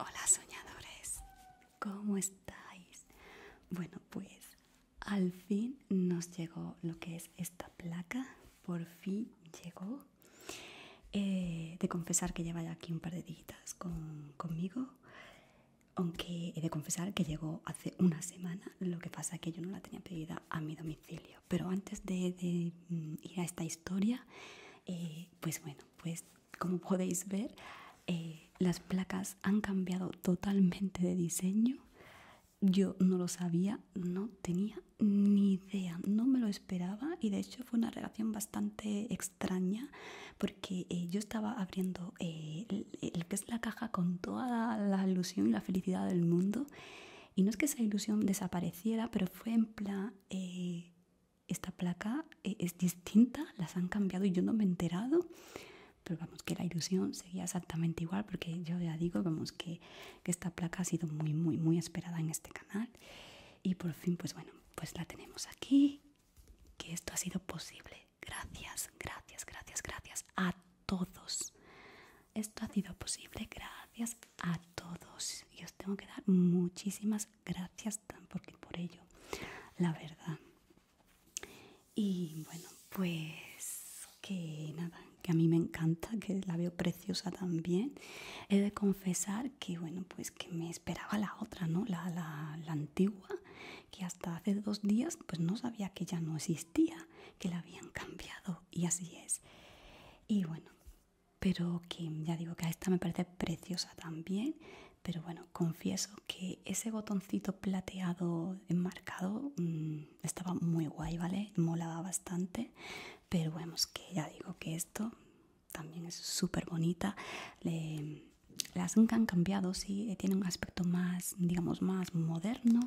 Hola soñadores, ¿cómo estáis? Bueno, pues al fin nos llegó lo que es esta placa por fin llegó. He eh, de confesar que lleva ya aquí un par de dígitas conmigo, aunque he de confesar que llegó hace una semana, lo que pasa es que yo no la tenía pedida a mi domicilio. Pero antes de, mm, ir a esta historia, eh, pues bueno, pues como podéis ver, eh, las placas han cambiado totalmente de diseño. Yo no lo sabía, no tenía ni idea, no me lo esperaba y de hecho fue una relación bastante extraña porque eh, yo estaba abriendo eh, el que es la caja con toda la, ilusión y la felicidad del mundo y no es que esa ilusión desapareciera, pero fue en plan, eh, esta placa es distinta, las han cambiado y yo no me he enterado pero vamos que la ilusión seguía exactamente igual porque yo ya digo vamos que que, esta placa ha sido muy muy muy esperada en este canal y por fin pues bueno pues la tenemos aquí que esto ha sido posible gracias gracias gracias gracias a todos esto ha sido posible gracias a todos y os tengo que dar muchísimas gracias porque por ello la verdad y bueno pues que nada, que a mí me encanta, que la veo preciosa también. He de confesar que, bueno, pues que me esperaba la otra, ¿no? La, antigua, que hasta hace dos días pues no sabía que ya no existía, que la habían cambiado y así es. Y bueno, pero que ya digo que a esta me parece preciosa también, pero bueno, confieso que ese botoncito plateado enmarcado mm, estaba muy guay, ¿vale? Molaba bastante, pero bueno, es que ya digo que esto también es súper bonita. Le, las han cambiado, sí, eh, tiene un aspecto más, digamos, más moderno.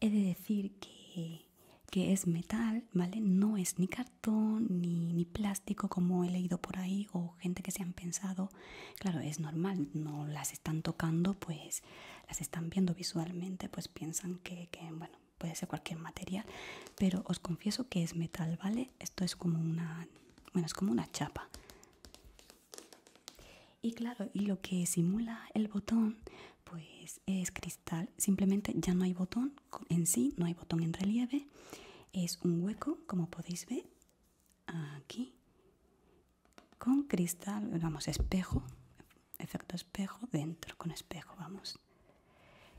He de decir que, que es metal, ¿vale? No es ni cartón ni, ni plástico como he leído por ahí o gente que se han pensado. Claro, es normal, no las están tocando, pues las están viendo visualmente pues piensan que, bueno puede ser cualquier material pero os confieso que es metal vale esto es como una bueno es como una chapa y claro y lo que simula el botón pues es cristal simplemente ya no hay botón en sí no hay botón en relieve es un hueco como podéis ver aquí con cristal vamos espejo efecto espejo dentro, con espejo, vamos.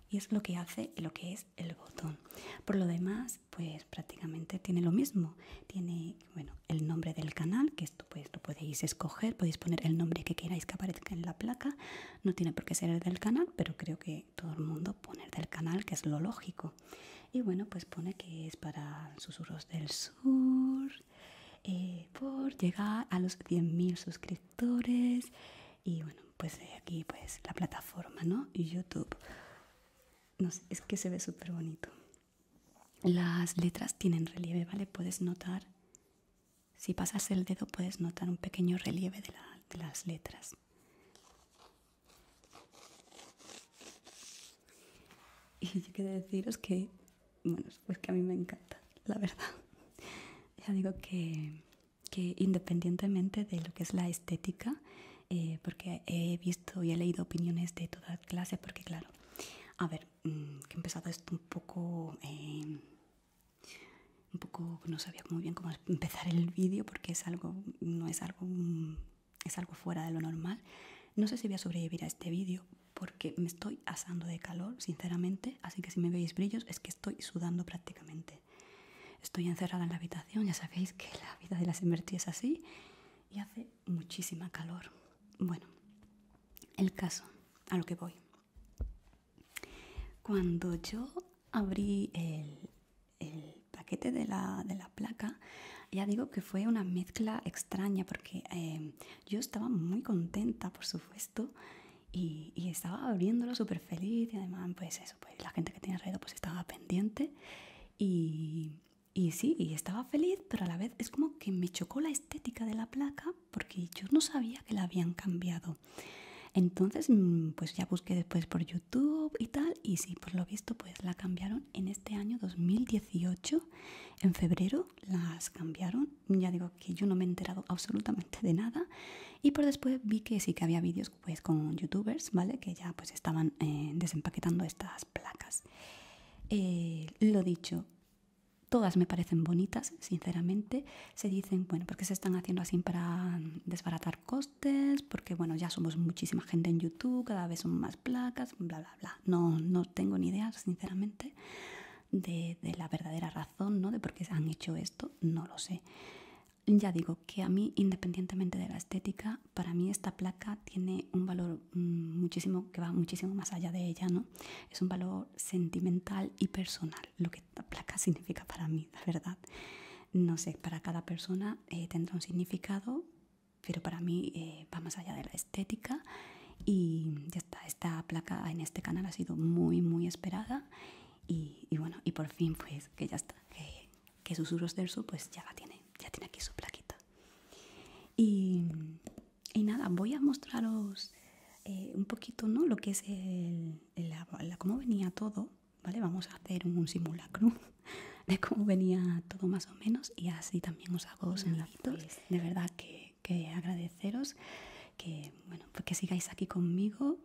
Y es lo que hace lo que es el botón. Por lo demás, pues prácticamente tiene lo mismo. Tiene, bueno, el nombre del canal, que esto pues lo podéis escoger, podéis poner el nombre que queráis que aparezca en la placa. No tiene por qué ser el del canal, pero creo que todo el mundo pone el del canal, que es lo lógico. Y bueno, pues pone que es para susurros del sur, eh, por llegar a los 100.000 suscriptores y bueno pues eh, aquí pues la plataforma no youtube no sé, es que se ve súper bonito las letras tienen relieve vale puedes notar si pasas el dedo puedes notar un pequeño relieve de, de las letras y yo quiero deciros que bueno, pues que a mí me encanta, la verdad. Ya digo que, independientemente de lo que es la estética, eh, porque he visto y he leído opiniones de toda clase porque claro, a ver, mm, que he empezado esto un poco... Em, un poco no sabía muy bien cómo empezar el vídeo porque es algo no es algo mm, es algo fuera de lo normal no sé si voy a sobrevivir a este vídeo porque me estoy asando de calor, sinceramente, así que si me veis brillos es que estoy sudando prácticamente. Estoy encerrada en la habitación, ya sabéis que la vida de las invertidas es así y hace muchísima calor. Bueno, el caso, a lo que voy. Cuando yo abrí el, paquete de la, placa, ya digo que fue una mezcla extraña porque eh, yo estaba muy contenta, por supuesto, y, estaba abriéndolo súper feliz y además, pues eso, pues la gente que tiene alrededor pues estaba pendiente y, y sí, y estaba feliz, pero a la vez es como que me chocó la estética de la placa porque yo no sabía que la habían cambiado. Entonces, mm, pues ya busqué después por YouTube y tal, y sí, por lo visto, pues la cambiaron en este año 2018, en febrero las cambiaron ya digo que yo no me he enterado absolutamente de nada y por después vi que sí que había vídeos pues, con youtubers, ¿vale? Que ya pues estaban eh, desempaquetando estas placas. Eh, lo dicho, todas me parecen bonitas, sinceramente. Se dicen, bueno, porque se están haciendo así para desbaratar costes, porque bueno, ya somos muchísima gente en YouTube, cada vez son más placas, bla, bla, no, no tengo ni idea, sinceramente, de, de la verdadera razón, ¿no? De por qué se han hecho esto, no lo sé. Ya digo que a mí, independientemente de la estética, para mí esta placa tiene un valor mm, muchísimo, que va muchísimo más allá de ella, ¿no? Es un valor sentimental y personal, lo que esta placa significa para mí, la verdad. No sé, para cada persona eh, tendrá un significado, pero para mí eh, va más allá de la estética y ya está, esta placa en este canal ha sido muy muy esperada y, bueno, y por fin pues que ya está, que, Susurros del Sur pues ya la tiene, ya tiene aquí su plaquita. Y, nada, voy a mostraros eh, un poquito ¿no? lo que es el, la, cómo venía todo, ¿vale? Vamos a hacer un simulacro de cómo venía todo más o menos y así también os hago los enlaces. Pues, de verdad que que, agradeceros que, bueno, pues que sigáis aquí conmigo,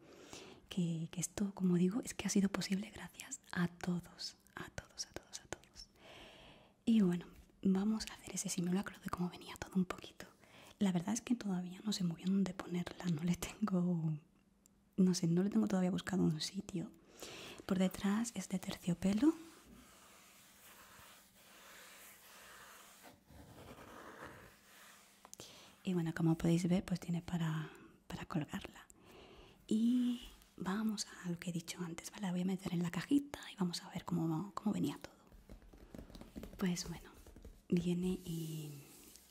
que, esto, como digo, es que ha sido posible gracias a todos, a todos, a todos, a todos. Y bueno, vamos a hacer ese simulacro de cómo venía todo un poquito. La verdad es que todavía no se muy bien dónde ponerla, no le tengo, no sé, no le tengo todavía buscado un sitio. Por detrás es de terciopelo. Y bueno, como podéis ver, pues tiene para, colgarla. Y vamos a lo que he dicho antes, La voy a meter en la cajita y vamos a ver cómo, venía todo. Pues bueno, viene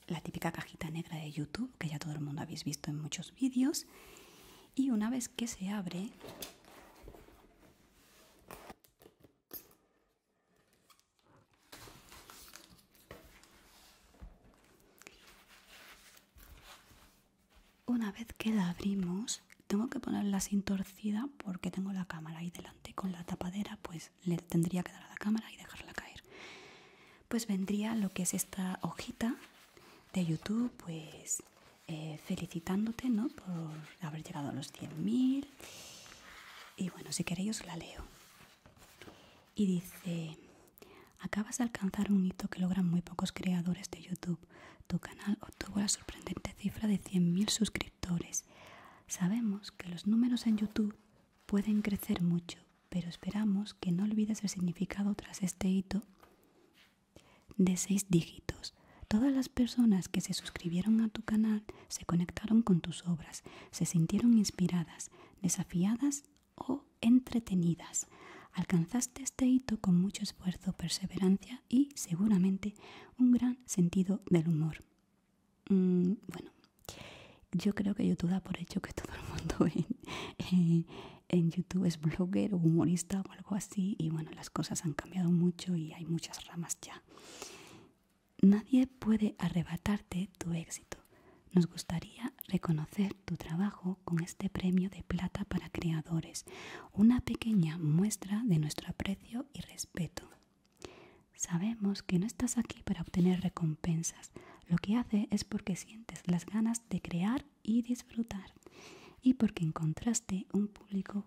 la típica cajita negra de YouTube, que ya todo el mundo habéis visto en muchos vídeos. Y una vez que se abre, una vez que la abrimos, tengo que ponerla sin torcida porque tengo la cámara ahí delante. Con la tapadera, pues le tendría que dar a la cámara y dejarla caer. Pues vendría lo que es esta hojita de YouTube, pues eh, felicitándote ¿no? por haber llegado a los 100.000. Y bueno, si queréis la leo. Y dice, acabas de alcanzar un hito que logran muy pocos creadores de YouTube. Tu canal obtuvo la sorprendente cifra de 100.000 suscriptores. Sabemos que los números en YouTube pueden crecer mucho, pero esperamos que no olvides el significado tras este hito de seis dígitos. Todas las personas que se suscribieron a tu canal se conectaron con tus obras, se sintieron inspiradas, desafiadas o entretenidas. Alcanzaste este hito con mucho esfuerzo, perseverancia y seguramente un gran sentido del humor. Mm, bueno, yo creo que YouTube da por hecho que todo el mundo en YouTube es blogger o humorista o algo así y bueno, las cosas han cambiado mucho y hay muchas ramas ya. Nadie puede arrebatarte tu éxito. Nos gustaría reconocer tu trabajo con este premio de plata para creadores, una pequeña muestra de nuestro aprecio y respeto. Sabemos que no estás aquí para obtener recompensas, lo que hace es porque sientes las ganas de crear y disfrutar y porque encontraste un público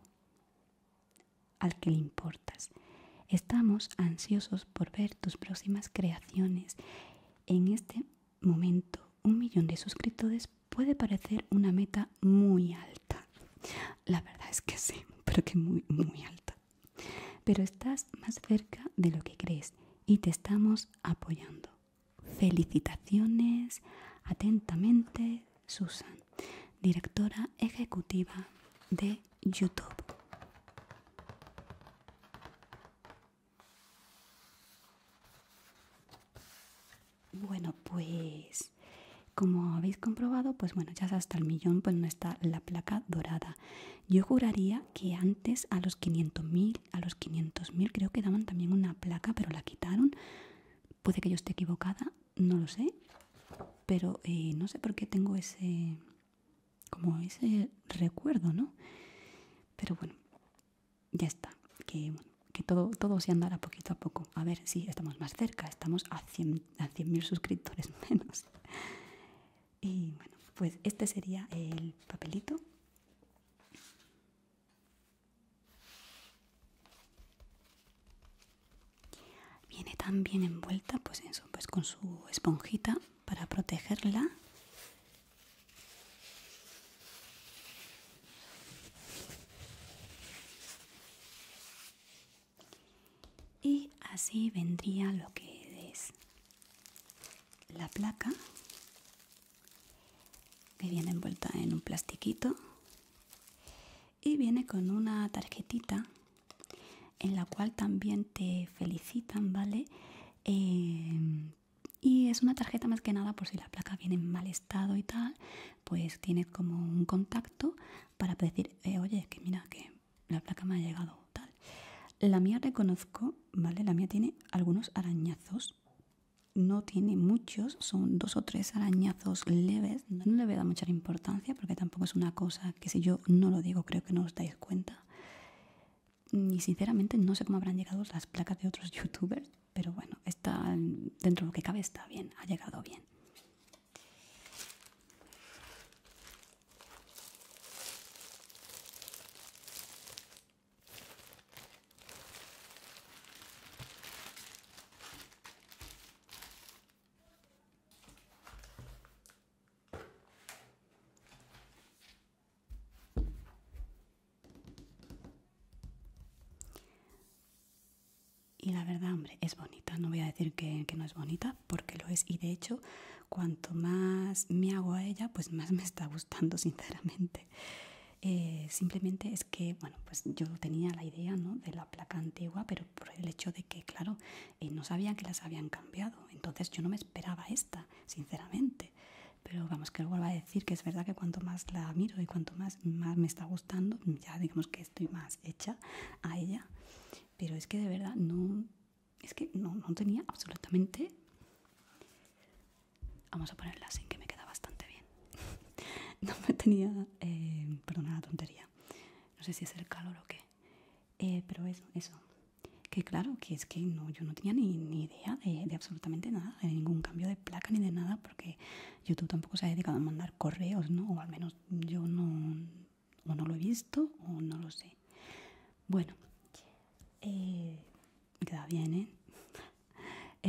al que le importas. Estamos ansiosos por ver tus próximas creaciones. En este momento, un millón de suscriptores puede parecer una meta muy alta. La verdad es que sí, pero que muy, muy alta. Pero estás más cerca de lo que crees y te estamos apoyando. Felicitaciones, atentamente, Susan, directora ejecutiva de YouTube. Bueno, pues como habéis comprobado, pues bueno, ya hasta el millón pues no está la placa dorada. Yo juraría que antes a los mil a los 500.000 creo que daban también una placa, pero la quitaron. Puede que yo esté equivocada, no lo sé, pero eh, no sé por qué tengo ese como ese recuerdo, ¿no? Pero bueno, ya está, que, todo, se andará poquito a poco. A ver si estamos más cerca, estamos a 100.000 suscriptores menos. Y bueno, pues este sería el papelito. Viene también envuelta pues, eso, pues con su esponjita para protegerla. Y así vendría lo que es la placa que viene envuelta en un plastiquito y viene con una tarjetita en la cual también te felicitan, ¿vale? Eh, y es una tarjeta más que nada por si la placa viene en mal estado y tal, pues tiene como un contacto para decir, eh, oye, que mira, que la placa me ha llegado tal. La mía reconozco, ¿vale? La mía tiene algunos arañazos, no tiene muchos, son dos o tres arañazos leves, no le voy a dar mucha importancia porque tampoco es una cosa que si yo no lo digo creo que no os dais cuenta. Mm, y sinceramente no sé cómo habrán llegado las placas de otros youtubers, pero bueno, está dentro de lo que cabe está bien, ha llegado bien. Y la verdad, hombre, es bonita. No voy a decir que, no es bonita, porque lo es. Y de hecho, cuanto más me hago a ella, pues más me está gustando, sinceramente. Eh, simplemente es que bueno pues yo tenía la idea ¿no? de la placa antigua pero por el hecho de que claro eh, no sabía que las habían cambiado entonces yo no me esperaba esta sinceramente pero vamos que lo vuelvo a decir que es verdad que cuanto más la miro y cuanto más, más me está gustando ya digamos que estoy más hecha a ella pero es que de verdad no es que no tenía absolutamente Vamos a ponerlas en que me queda bastante bien. no me tenía, eh, perdona la tontería, no sé si es el calor o qué, eh, pero eso, eso. Que claro, que es que no, yo no tenía ni, idea de, absolutamente nada, de ningún cambio de placa ni de nada, porque YouTube tampoco se ha dedicado a mandar correos, ¿no? O al menos yo no, o no lo he visto o no lo sé. Bueno, eh, queda bien, ¿eh?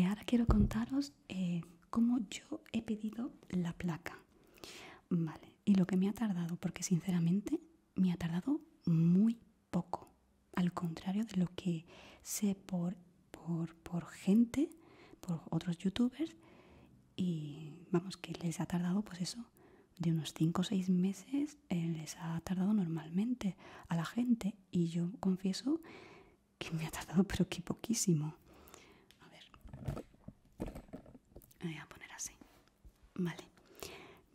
ahora quiero contaros eh, cómo yo he pedido la placa, ¿vale? Y lo que me ha tardado, porque sinceramente me ha tardado muy poco, al contrario de lo que sé por, por, gente, por otros youtubers, y vamos, que les ha tardado pues eso, de unos 5 o 6 meses eh, les ha tardado normalmente a la gente y yo confieso que me ha tardado pero que poquísimo. A ver, voy a poner así. Vale,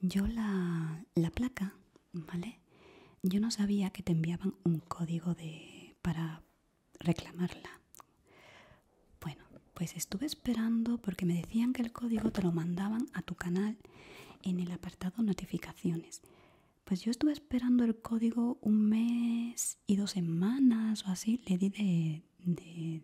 yo la, la placa, ¿vale? Yo no sabía que te enviaban un código de para reclamarla. Bueno, pues estuve esperando porque me decían que el código te lo mandaban a tu canal en el apartado notificaciones. Pues yo estuve esperando el código un mes y dos semanas o así. Le di de, de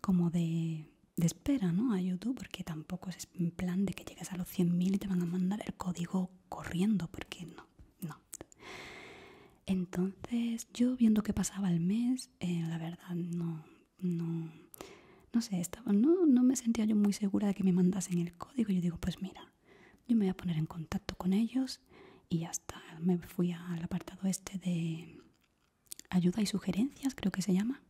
como de, de espera, ¿no? A YouTube, porque tampoco es en plan de que llegues a los 100.000 y te van a mandar el código corriendo, porque no, no. Entonces yo viendo que pasaba el mes, eh, la verdad no, no, no sé, estaba, no, no me sentía yo muy segura de que me mandasen el código. Yo digo, pues mira, yo me voy a poner en contacto con ellos y ya está. Me fui al apartado este de ayuda y sugerencias, creo que se llama.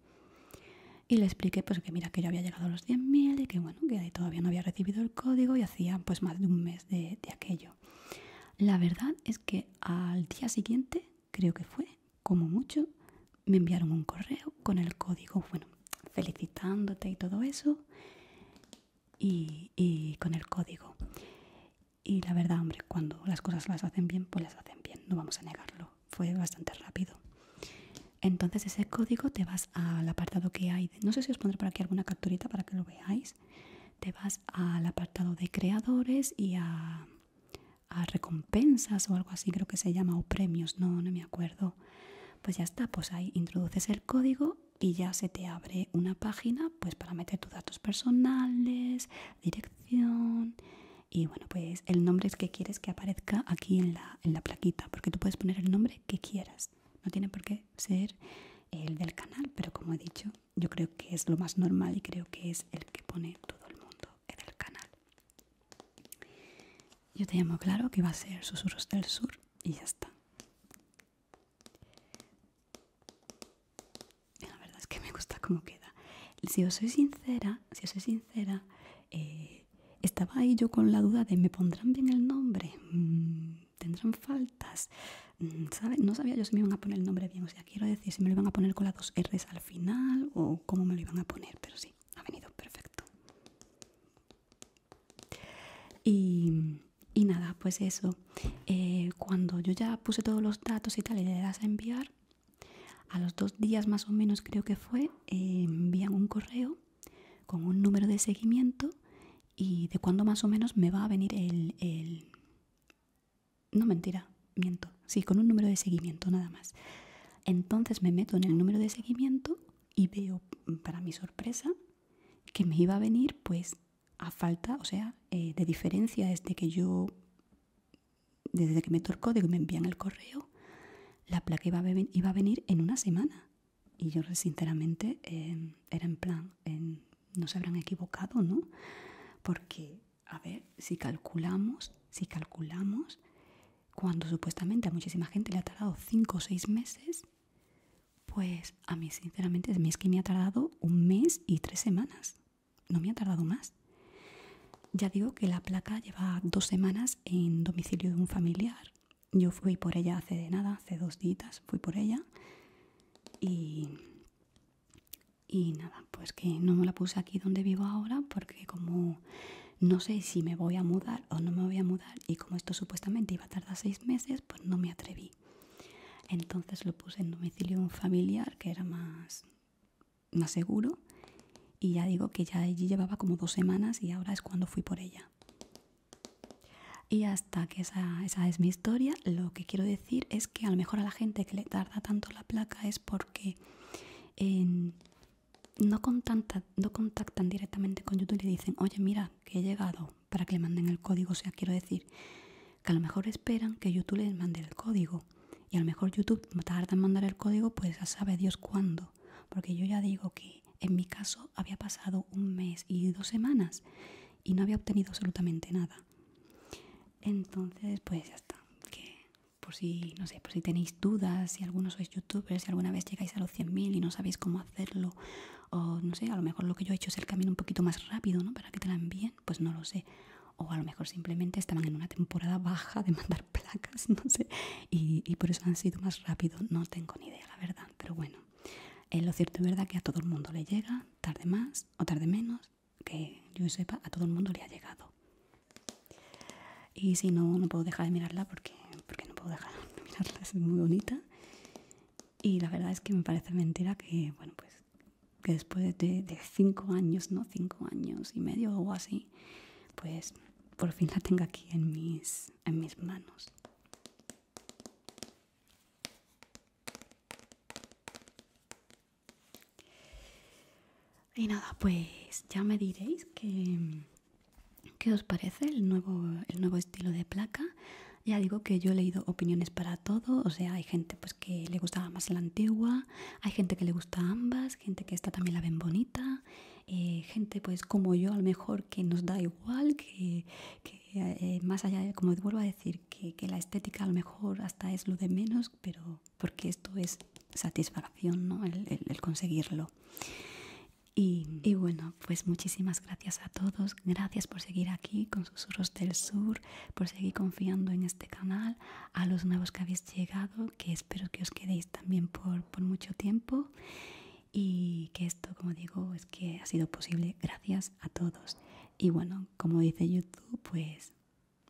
Y le expliqué pues que mira que yo había llegado a los 10.000 y que bueno, que todavía no había recibido el código y hacía pues más de un mes de, aquello. La verdad es que al día siguiente, creo que fue, como mucho, me enviaron un correo con el código. Bueno, felicitándote y todo eso y, con el código y la verdad hombre cuando las cosas las hacen bien pues las hacen bien no vamos a negarlo fue bastante rápido entonces ese código te vas al apartado que hay no sé si os pondré por aquí alguna capturita para que lo veáis te vas al apartado de creadores y a, a recompensas o algo así creo que se llama o premios no no me acuerdo pues ya está, pues ahí introduces el código y ya se te abre una página pues para meter tus datos personales, dirección y bueno, pues el nombre que quieres que aparezca aquí en la, en la plaquita, porque tú puedes poner el nombre que quieras. No tiene por qué ser el del canal, pero como he dicho, yo creo que es lo más normal y creo que es el que pone todo el mundo en el canal. Yo te llamo claro que va a ser Susurros del Sur y ya está. La verdad es que me gusta cómo queda. Si os soy sincera, si soy sincera, eh, estaba ahí yo con la duda de ¿me pondrán bien el nombre? Mm, ¿Tendrán faltas? Mm, no sabía yo si me iban a poner el nombre bien. O sea, quiero decir si me lo iban a poner con las dos R's al final o cómo me lo iban a poner, pero sí, ha venido perfecto. Y, nada, pues eso. Eh, cuando yo ya puse todos los datos y tal y le das a enviar, a los dos días más o menos creo que fue, eh, envían un correo con un número de seguimiento y de cuándo más o menos me va a venir el, el... No mentira, miento. Sí, con un número de seguimiento nada más. Entonces me meto en el número de seguimiento y veo mm, para mi sorpresa que me iba a venir pues a falta, o sea, eh, de diferencia desde que yo, desde que me torcó, de que me envían el correo, la placa iba a, iba a venir en una semana. Y yo sinceramente em, era en plan, no se habrán equivocado, ¿no? Porque, a ver, si calculamos, si calculamos, cuando supuestamente a muchísima gente le ha tardado 5 o 6 meses, pues a mí sinceramente es que me ha tardado un mes y tres semanas, no me ha tardado más. Ya digo que la placa lleva dos semanas en domicilio de un familiar. Yo fui por ella hace de nada, hace dos días fui por ella y, y nada, pues que no me la puse aquí donde vivo ahora porque como no sé si me voy a mudar o no me voy a mudar y como esto supuestamente iba a tardar seis meses, pues no me atreví. Entonces lo puse en domicilio un familiar, que era más, más seguro, y ya digo que ya allí llevaba como dos semanas y ahora es cuando fui por ella. Y hasta que esa, esa es mi historia, lo que quiero decir es que a lo mejor a la gente que le tarda tanto la placa es porque en, no contactan, no contactan directamente con YouTube y dicen, oye, mira, que he llegado para que le manden el código. O sea, quiero decir que a lo mejor esperan que YouTube les mande el código. Y a lo mejor YouTube tarda en mandar el código, pues ya sabe Dios cuándo. Porque yo ya digo que en mi caso había pasado un mes y dos semanas y no había obtenido absolutamente nada. Entonces, pues ya está. Que por si, no sé, por si tenéis dudas, si algunos sois youtubers, si alguna vez llegáis a los 100.000 y no sabéis cómo hacerlo, o no sé, a lo mejor lo que yo he hecho es el camino un poquito más rápido, ¿no? Para que te la envíen, pues no lo sé. O a lo mejor simplemente estaban en una temporada baja de mandar placas, no sé, y, por eso han sido más rápido, no tengo ni idea, la verdad. Pero bueno, eh, lo cierto es verdad que a todo el mundo le llega, tarde más o tarde menos, que yo sepa, a todo el mundo le ha llegado y si no, no puedo dejar de mirarla porque, no puedo dejar de mirarla, es muy bonita y la verdad es que me parece mentira que, bueno, pues que después de, de cinco años, ¿no? Cinco años y medio o así, pues por fin la tengo aquí en mis, en mis manos. Y nada, pues ya me diréis que, ¿Qué os parece el nuevo, el nuevo estilo de placa? Ya digo que yo he leído opiniones para todo, o sea, hay gente pues que le gustaba más la antigua, hay gente que le gusta ambas, gente que esta también la ven bonita, eh, gente pues como yo a lo mejor que nos da igual, que, eh, más allá de, como vuelvo a decir, que, la estética a lo mejor hasta es lo de menos, pero porque esto es satisfacción, ¿no? el conseguirlo. Mm. Y, bueno, pues muchísimas gracias a todos, gracias por seguir aquí con Susurros del Sur, por seguir confiando en este canal, a los nuevos que habéis llegado, que espero que os quedéis también por, por mucho tiempo y que esto, como digo, es que ha sido posible gracias a todos. Y bueno, como dice YouTube, pues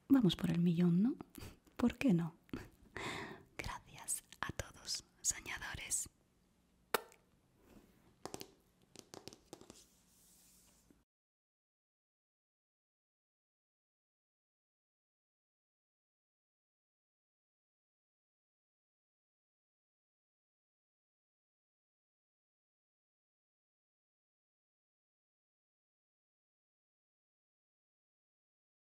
vamos por el millón, ¿no? ¿Por qué no? Gracias a todos soñadores.